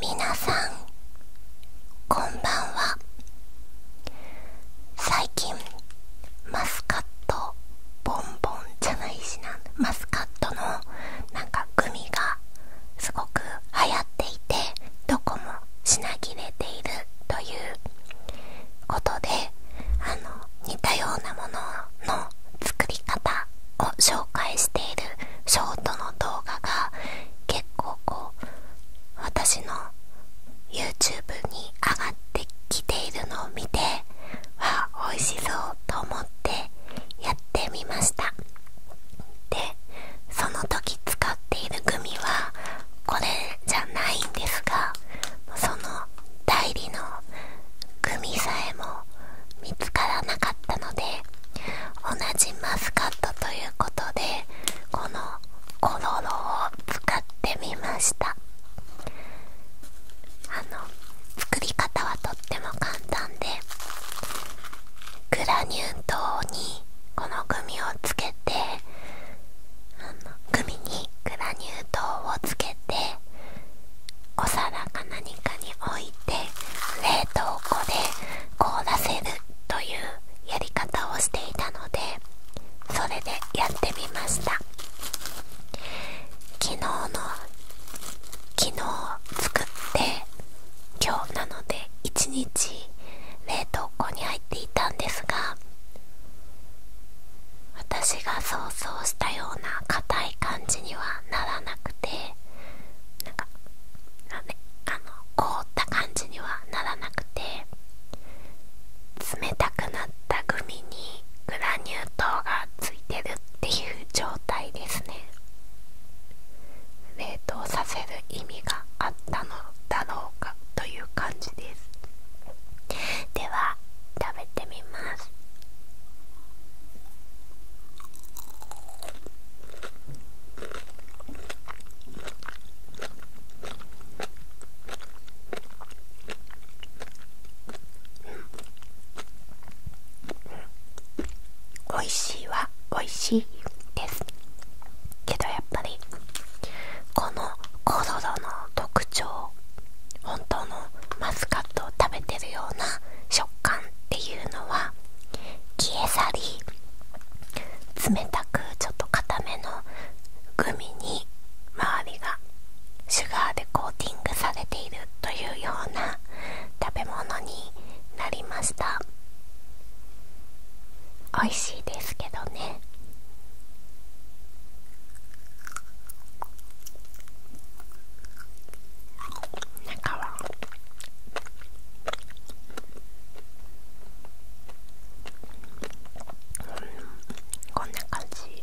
皆さんこんばんは最近マスカットボンボンじゃないしなマスカットのなんかグミがすごく流行っていてどこも品切れているということであの似たようなものの作り方を紹介しているショートの動画が結構こう私の YouTube に上がってきているのを見てわあ美味しそうと思ってやってみましたでその時使っているグミはこれじゃないんですがその代理の組さえも見つからなかったので同じマスカットということでこのコロロを使ってみましたあの作り方はとっても簡単でグラニュー糖にこのグミをつけてグミにグラニュー糖をつけてお皿か何かに置いて冷凍庫で凍らせるというやり方をしていたのでそれでやってみました昨日の昨日作って今日なので1日冷凍庫に入っていたんですが私が想像したような硬い感じにはならなくてなんかなん、ね、あの凍った感じにはならなくて冷たくなったグミにグラニュー糖がついてるっていう状態ですね冷凍させる意味があったの多能かという感じですでは食べてみますおいしいわ美味しいですけどやっぱりこのコロロの特徴本当のマスカットを食べてるような食感っていうのは消え去り冷たくちょっと固めのグミに周りがシュガーでコーティングされているというような食べ物になりました美味しいですけどね中はうんこんな感じ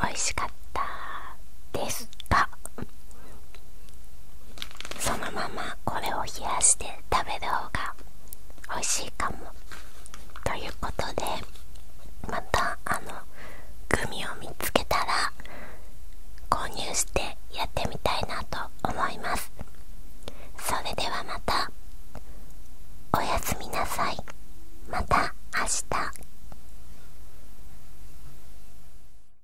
美味しかったですか？そのままこれを冷やして食べる方が美味しいかもということでまたあのグミを見つけたら購入してやってみたいなと思いますそれではまたおやすみなさいまた明日